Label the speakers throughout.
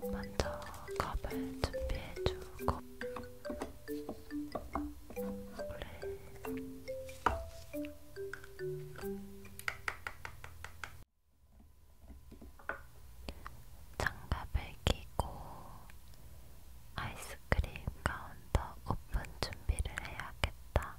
Speaker 1: 먼저 컵을 준비해주고 장갑을 끼고 아이스크림 카운터 오픈 준비를 해야겠다.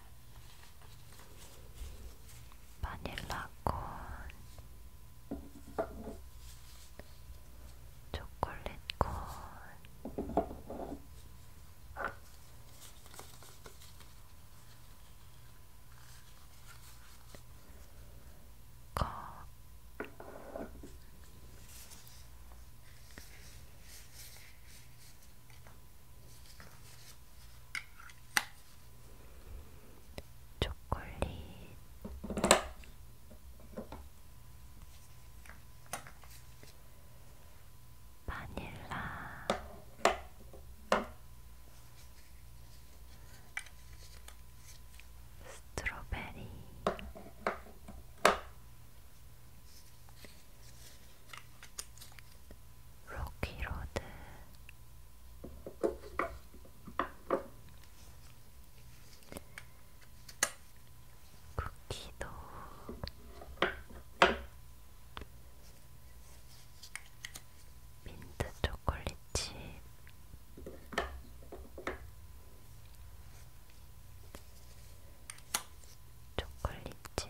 Speaker 1: 바닐라콘, 초콜릿콘, 컵, 초콜릿 바닐라 스트로베리 로키로드 쿠키도 민트 초콜릿칩 초콜릿칩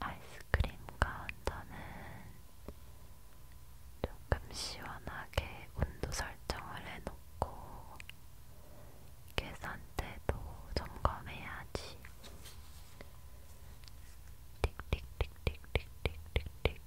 Speaker 1: 아이스크림 카운터는 조금 시원하게 온도 설정을 해놓고 계산대도 점검해야지. 틱틱틱틱틱틱틱틱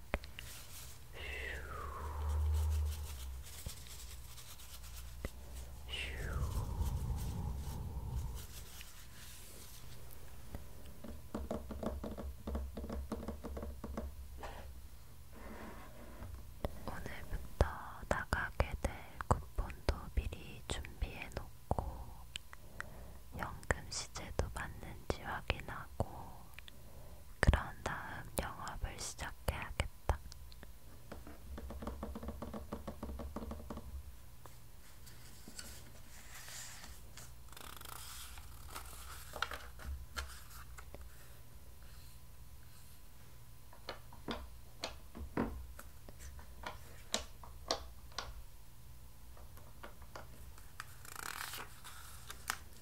Speaker 1: 오늘부터 나가게 될 쿠폰도 미리 준비해 놓고 연금 시제도 맞는지 확인하고 그런 다음 영업을 시작해야겠다.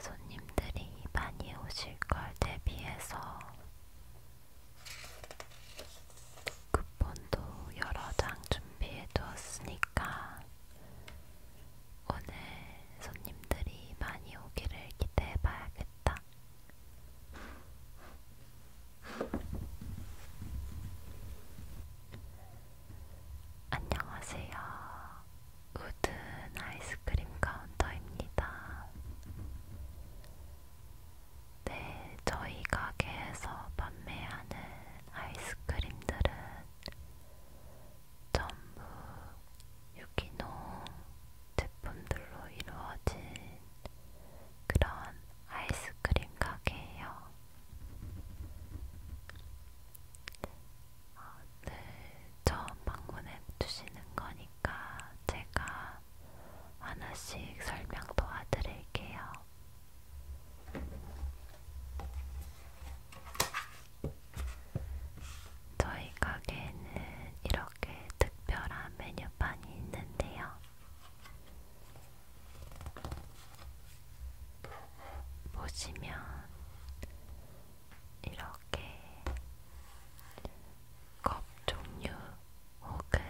Speaker 1: 손님들이 많이 오실 걸 대비해서 쿠폰도 여러 장 준비해 두었으니까 오늘 손님들이 많이 오기를 기대해봐야겠다. 안녕하세요. 우든 아이스크림 카운터입니다. 네, 저희 가게에서 판매하는 아이스크림들은 전부 유기농 제품들로 이루어진 그런 아이스크림 가게예요. 오늘 아, 네. 처음 방문해 주시는 거니까 제가 하나씩 설명 도와드릴게요. 저희 가게에는 이렇게 특별한 메뉴판이 있는데요. 보시면 이렇게 컵 종류 혹은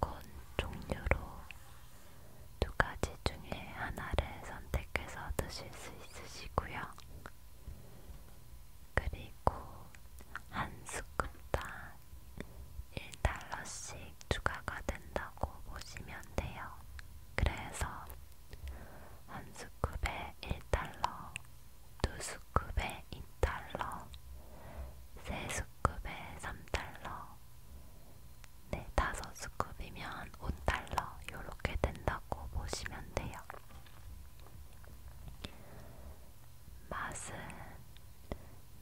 Speaker 1: 콘 종류로 두 가지 중에 하나를 선택해서 드실 수 있으시고요. 그리고 한 스쿱당 1달러씩 추가가 된다고 보시면 돼요. 그래서 한 스쿱에 1달러, 두 스쿱에 2달러, 세 스쿱에 3달러, 네, 다섯 스쿱이면 5달러 요렇게 된다고 보시면 돼요. 맛은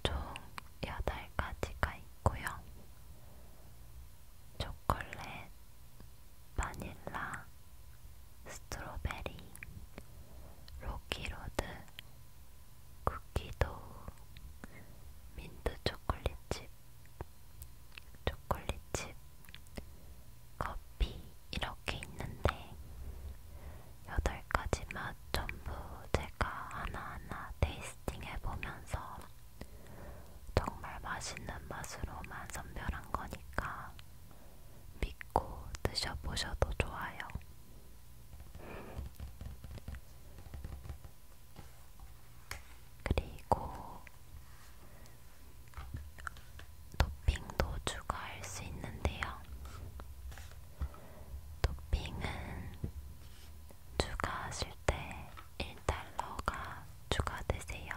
Speaker 1: 총 8가지가 있고요. 초콜릿, 바닐라, 스트로베리, 로키로드, 쿠키도우, 민트 초콜릿 칩, 칩, 초콜릿 칩, 커피 이렇게 있는데 여덟 가지 맛 전부 제가 하나하나 테이스팅 해보면서 정말 맛있는 맛으로만 선별한 거니까 믿고 드셔보셔도 좋아요. 그리고 토핑도 추가할 수 있는데요. 토핑은 추가하실 때 1달러가 추가되세요.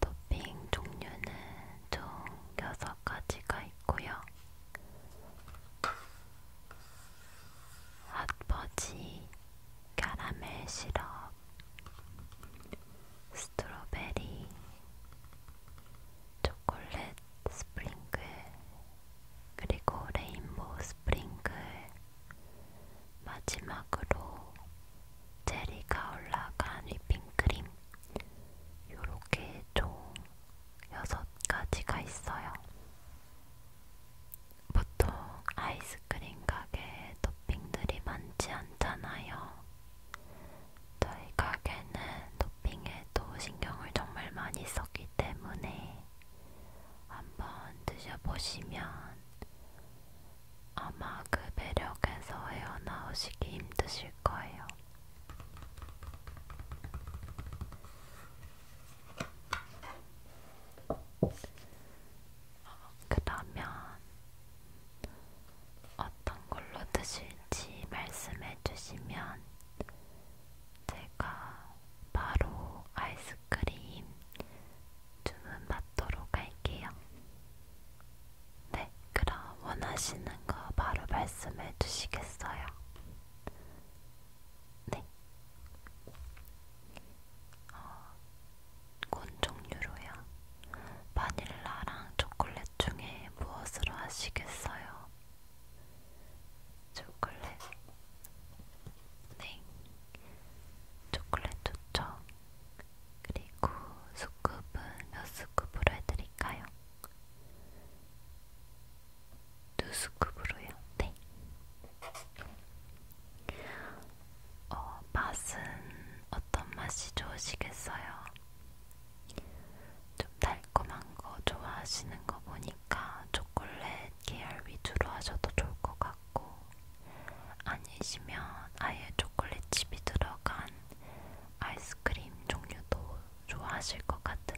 Speaker 1: 토핑 종류는 총 6가지가 있고요. 핫버지 카라멜 시럽 스트로베리 초콜릿 스프링클 그리고 레인보우 스프링클 마지막으로 체리가 올라간 휘핑크림 요렇게 좀 여섯 가지가 있어요. 보통 아이스크림 가게에 토핑들이 많지 않잖아요. 저희 가게는 토핑에도 신경을 정말 많이 썼기 때문에 한번 드셔보시면 아마 그 매력에서 헤어나오시기 힘드실 거예요. 어, 그러면 어떤 걸로 드실지 말씀해 주시면 제가 바로 아이스크림 주문 받도록 할게요. 네, 그럼 원하시는 거 바로 말씀해 주시겠어요? 네, 어, 곤 종류로요. 바닐라랑 초콜릿 중에 무엇으로 하시겠어요? 초콜릿. 네. 초콜릿 좋죠. 그리고 스쿱은 몇 스쿱으로 해드릴까요? 두 스쿱으로요. 네. 어, 맛은 어떤 맛이 좋으시겠어요? 좀 달콤한 거 좋아하시는 거 보니까 초콜릿 계열 위주로 하셔도 좋을 것 같고 아니시면 아예 초콜릿칩이 들어간 아이스크림 종류도 좋아하실 것 같은데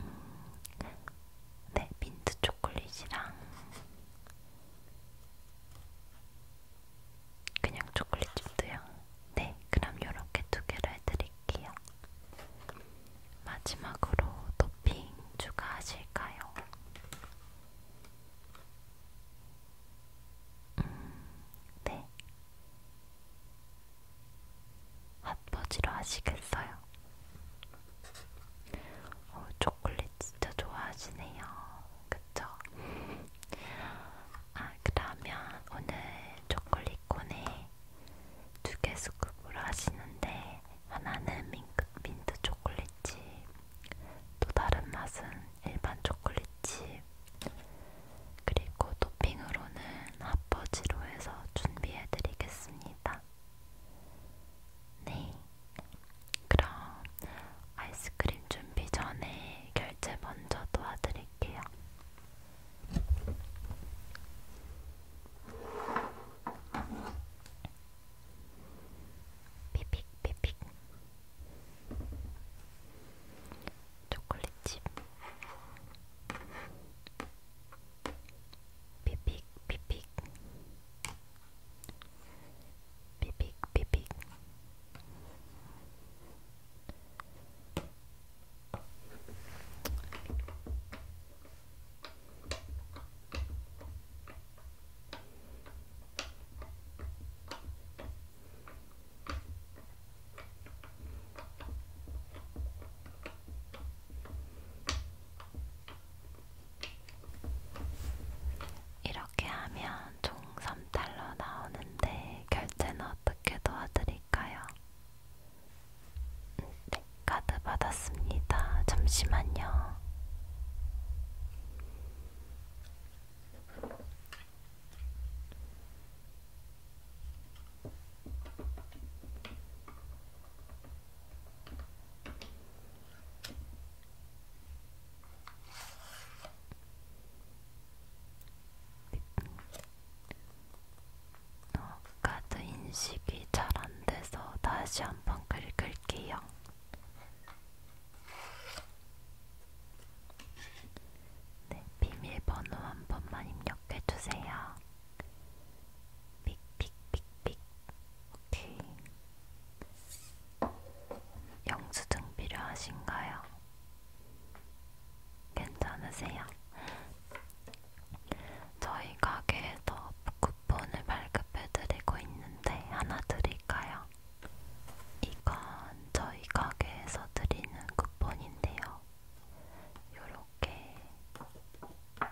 Speaker 1: 음. 네, 민트 초콜릿이랑 그냥 초콜릿집도요. 네, 그럼 이렇게 두 개를 해드릴게요. 마지막으로 토핑 추가하실까요? 음, 네, 핫버지로 하시겠어요? 어, 초콜릿 진짜 좋아하시네요. 그쵸? 아, 그러면 오늘 초콜릿 콘에 두개 스쿱으로 하시는데 하나는 민크, 민트 초콜릿칩, 또 다른 맛은 일반 초콜릿칩, 그리고 토핑으로는 핫버지로 해서 준비해드리겠습니다. 네, 그럼 아이스크림 준비 전에 결제 먼저 도와드릴게요. 삐빅삐빅 초콜릿칩 비빅 비빅 비빅 비빅 이렇게 하면 총 3달러 나오는데 결제는 어떻게 도와드릴까요? 음, 네, 카드 받았습니다. 잠시만요. 어, 카드 인식이 잘 안 돼서 다시 한번 긁을게요. 네, 비밀번호 한 번만 입력해주세요. 삑삑삑삑. 오케이. 영수증 필요하신가요? 괜찮으세요? 저희 가게에서 쿠폰을 발급해드리고 있는데 하나 드릴까요? 이건 저희 가게에서 드리는 쿠폰인데요. 이렇게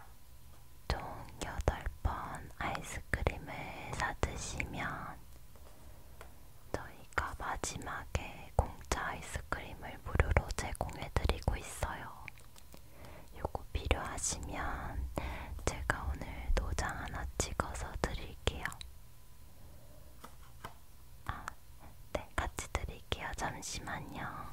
Speaker 1: 총 8번 아이스크림을 사드시면 저희가 마지막에 공짜 아이스크림을 무료로 제공해드리고 있어요. 요거 필요하시면 제가 오늘 도장 하나 찍어서 드릴게요. 아, 네, 같이 드릴게요. 잠시만요.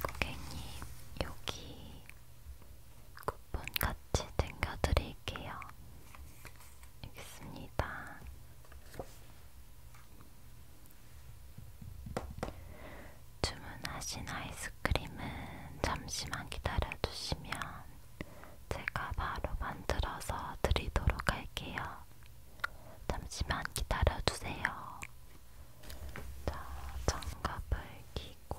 Speaker 1: 고객님, 여기 쿠폰 같이 챙겨드릴게요. 알겠습니다. 주문하신 아이스크림은 잠시만 기다려주시면 제가 바로 만들어서 드리도록 할게요. 잠시만 기다려주세요. 자, 장갑을 끼고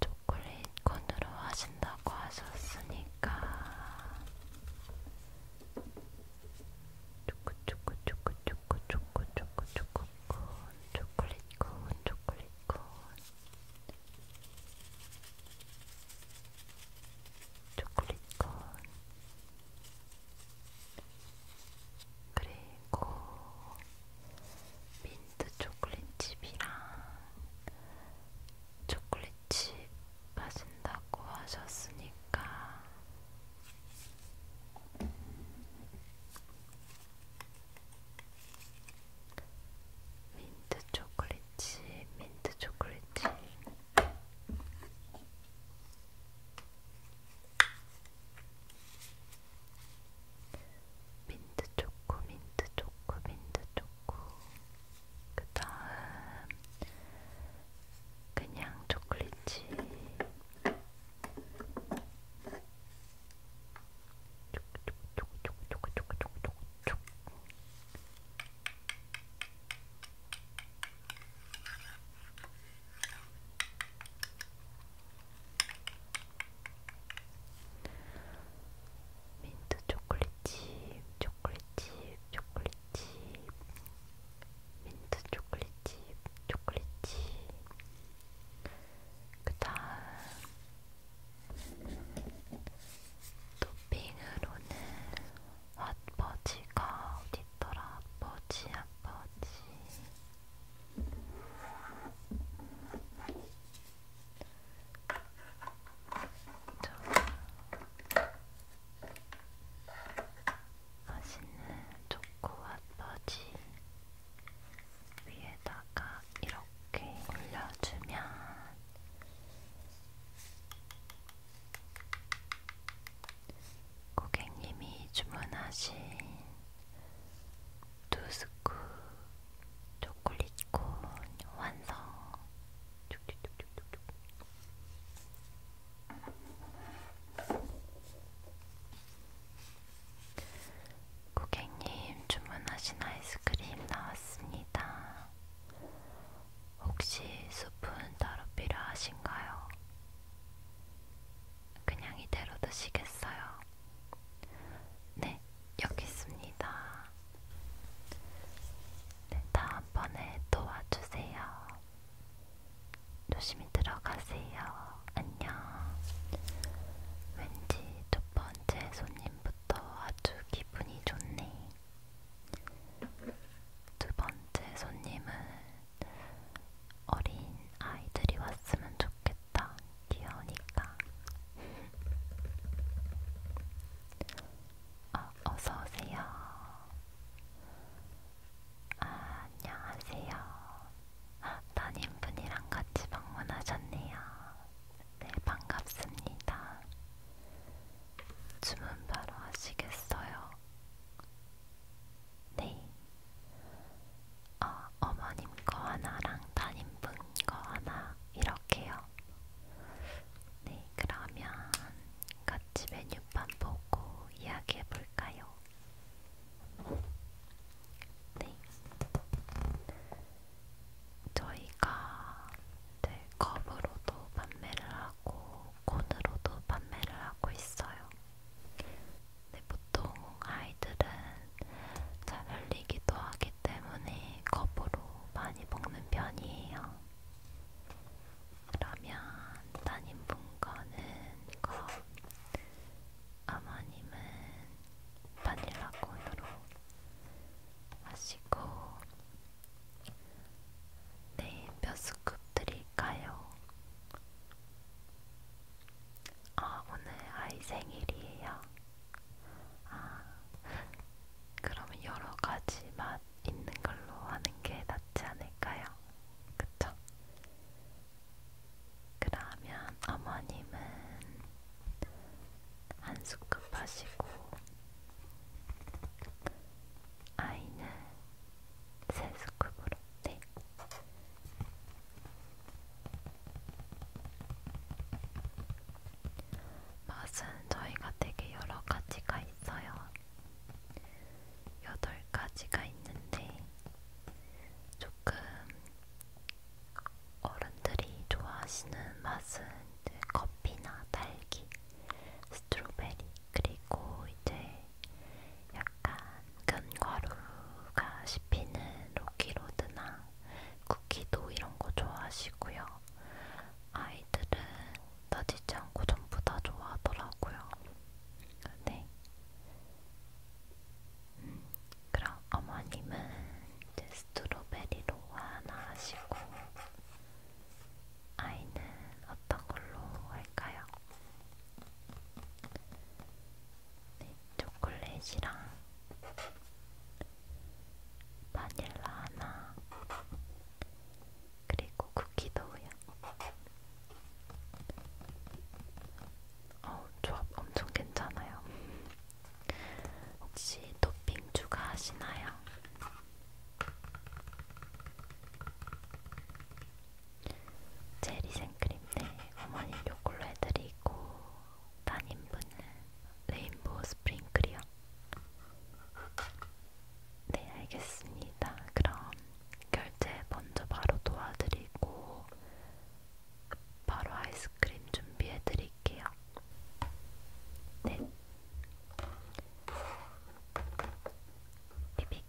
Speaker 1: 초콜릿 콘으로 하신다고 하셨으니까 초코 초코 초코 초코 초코 초코 초코 콘 초콜릿 콘 초콜릿 콘 초콜릿 콘 그리고 민트 초콜릿칩이랑 초콜릿칩 마신다고 하셨으니까 민트 초콜릿칩, 민트 초콜릿칩. 민트 초코, 민트 초코, 민트 초코. 그 다음, 그냥 초콜릿이. 민트 초콜릿칩, 초콜릿칩, 초콜릿칩, 민트 초콜릿칩, 초콜릿칩. 그다음 토핑으로는 핫버지가 어디더라? 핫버지, 핫버지. 맛있는 초코와 버지 위에다가 이렇게 올려주면 고객님이 주문하신 두 스쿱 초콜릿콘 완성. 고객님 주문하신 아이스크림 나왔습니다. 혹시 수분 따로 필요하신가요? 그냥 이대로 드시겠어요? 네, 여기 있습니다. 네, 다음번에 또 와주세요. 조심히 들어가세요. 안녕. 왠지 첫 번째 손님부터 아주 기분이 좋네. 두 번째 손님은 어린 아이들이 왔으면 좋겠다. 귀여우니까. 어, 어서오세요. 아, 안녕하세요. 아, 담임분이랑 같이 방문하셨네요. 네, 반갑습니다. 주문 바로 하시겠어요? 네. 어, 어머님 거 하나랑 담임분 거 하나 이렇게요. 네, 그러면 같이 메뉴판 보고 이야기해 볼까요? 네. 저희가 네, 컵으로도 판매를 하고 콘으로도 판매를 하고 있어요. 근데 보통 아이들은 잘 흘리기도 하기 때문에 컵으로 많이 먹는 편이에요. 그러면 따님분과는 컵, 어머님은 바닐라콘으로 하시고 네, 몇 스쿱 드릴까요? 아, 오늘 아이 생일이에요. 아, 그러면 여러 가지 맛 있는 걸로 하는 게 낫지 않을까요? 그쵸? 그러면 어머님은 한 스쿱 하시고, 아이는 세 스쿱으로, 네. 맛은 저희가 되게 여러 가지가 있어요. 여덟 가지가 있는데 조금 어른들이 좋아하시는 맛은 이제 커피나 딸기, 스트로베리 그리고 이제. 약간 약간 견과류가 씹히는 로키로드나 쿠키도 이런 거 좋아하시고요. 아이들은 따지지 않고 전부 다 좋아하더라고요. 네. 음, 그럼 어머님은 이제 스트로베리로 하나 하시고 아이는 어떤 걸로 할까요? 네, 초콜릿이랑 바닐라 하나 그리고 쿠키도요. 어, 조합 엄청 괜찮아요. 혹시 토핑 추가하시나요? 체리 생크림 때 네. 어머님 요걸로 해드리고 따님분은 레인보우 스프링클이요? 네 알겠습니다. 그럼 결제 먼저 바로 도와드리고 바로 아이스크림 준비해드릴게요. 네. 비빅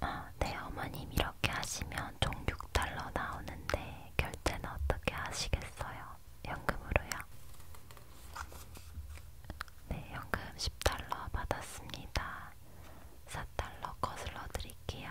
Speaker 1: 아, 네, 어머님 이렇게 하시면 총 6달러 나오는데 결제는 어떻게 하시겠어요? 연금으로요? 네, 연금 10달러 받았습니다. 4달러 거슬러 드릴게요.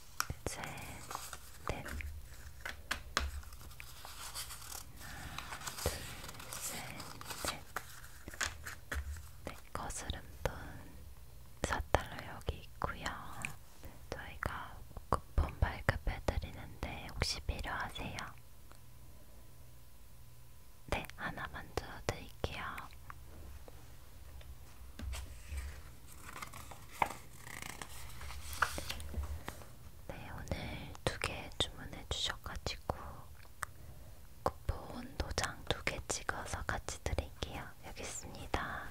Speaker 1: 셋, 넷, 네. 하나, 둘, 셋, 넷, 네, 거스름돈 4달러 여기 있고요 저희가 쿠폰 발급해드리는데 혹시 필요하세요? 네, 하나 만들어 드릴게요. 네, 오늘 두 개 주문해 주셔가지고 쿠폰 도장 두 개 찍어서 같이 드릴게요. 여기 있습니다.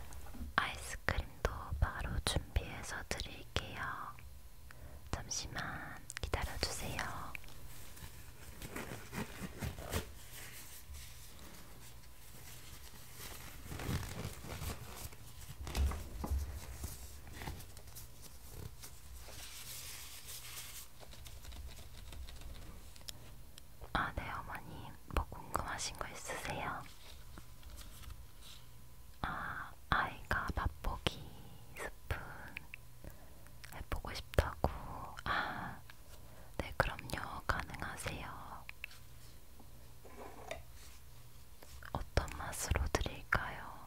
Speaker 1: 아이스크림도 바로 준비해서 드릴게요. 잠시만 기다려주세요. 아, 네, 어머님. 뭐 궁금하신 거 있으세요? 아, 아이가 맛보기 스푼 해보고 싶다고. 아, 네, 그럼요. 가능하세요. 어떤 맛으로 드릴까요?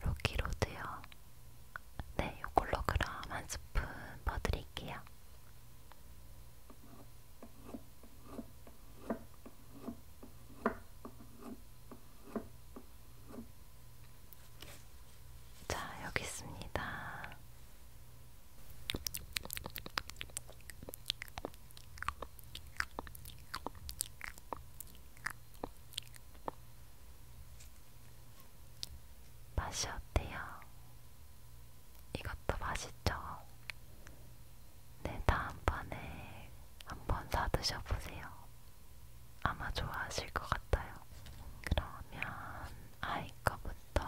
Speaker 1: 로키로드요. 네, 요걸로 그럼 한 스푼 퍼드릴게요. 자, 여기 있습니다. 맛이 어때요? 이것도 맛있죠? 네, 다음번에 한번 사드셔보세요. 아마 좋아하실 것 같아요. 그러면 아이 스티커부터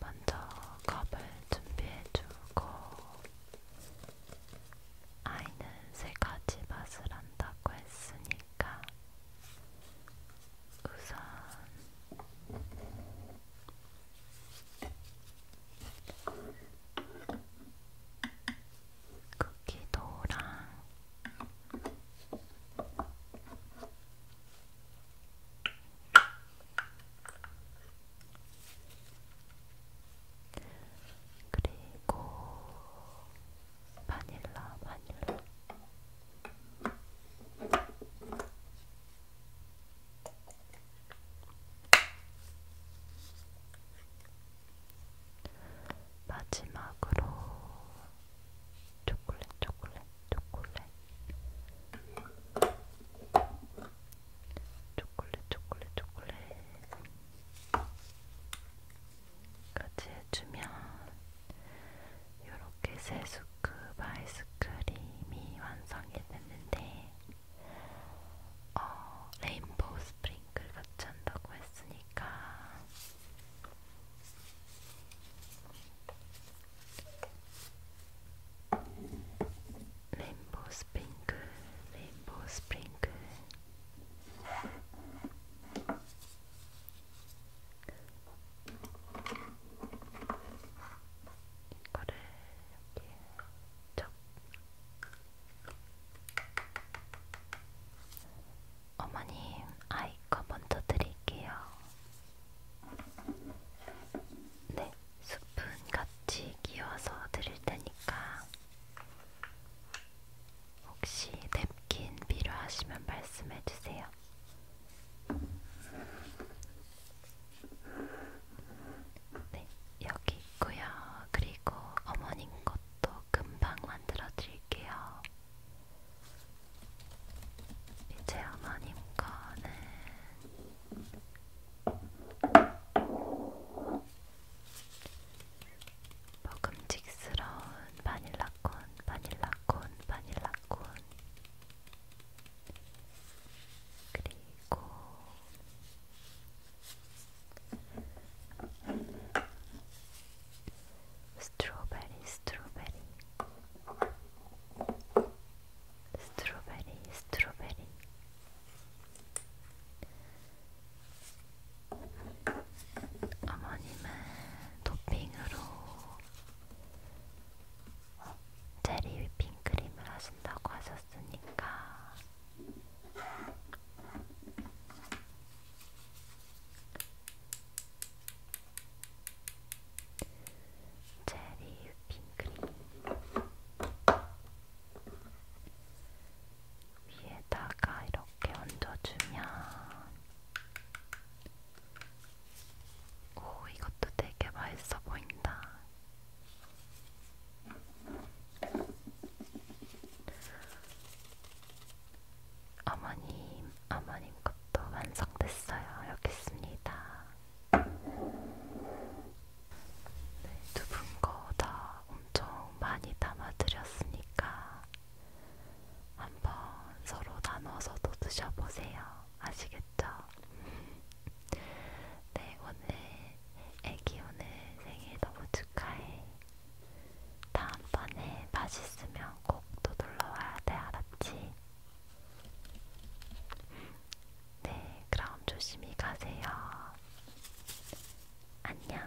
Speaker 1: 먼저 컵을 준비해주고 아이는 세 가지 맛을 안다고 했으니까 우선 쿠키도랑 그리고 바닐라 바닐라 마지막으로 초콜릿, 초콜릿, 초콜릿. 초콜릿, 초콜릿, 초콜릿. 까지 해주면 이렇게 세 스쿱 아이스크림이 완성이 됐는데 어, 레인보우 스프링클 같이 한다고 했으니까 레인보우 스프링클, 레인보우 스프링클 이거를 이렇게 저 어머님, 아이커 먼저 드릴게요. 네, 스푼 같이 끼워서 드릴 테니까 혹시 냅킨 필요하시면 말씀해 주세요. 네, 여기 있고요. 그리고 어머님 것도 금방 만들어줄게요. 이제 어머님 거는 먹음직스러운 바닐라콘, 바닐라콘, 바닐라콘. 그리고 스트로베리 스트로베리 스트로베리 스트로베리 어머님은 토핑으로 제리 휘핑크림을 하신다고 하셨으니까 체리 핑크림 위에다가 이렇게 얹어주면 오 이것도 되게 맛있어 보인다. 어머님, 어머님 것도 완성됐어요. 여기 있습니다. 네, 두분 거 다 엄청 많이 담아드렸으니까 한번 서로 나눠서도 드셔보세요. 아시겠죠? 네, 오늘 애기 오늘 생일 너무 축하해. 다음번에 맛있으면 꼭 또 놀러와야 돼, 알았지? 네, 그럼 조심히 가세요. 안녕.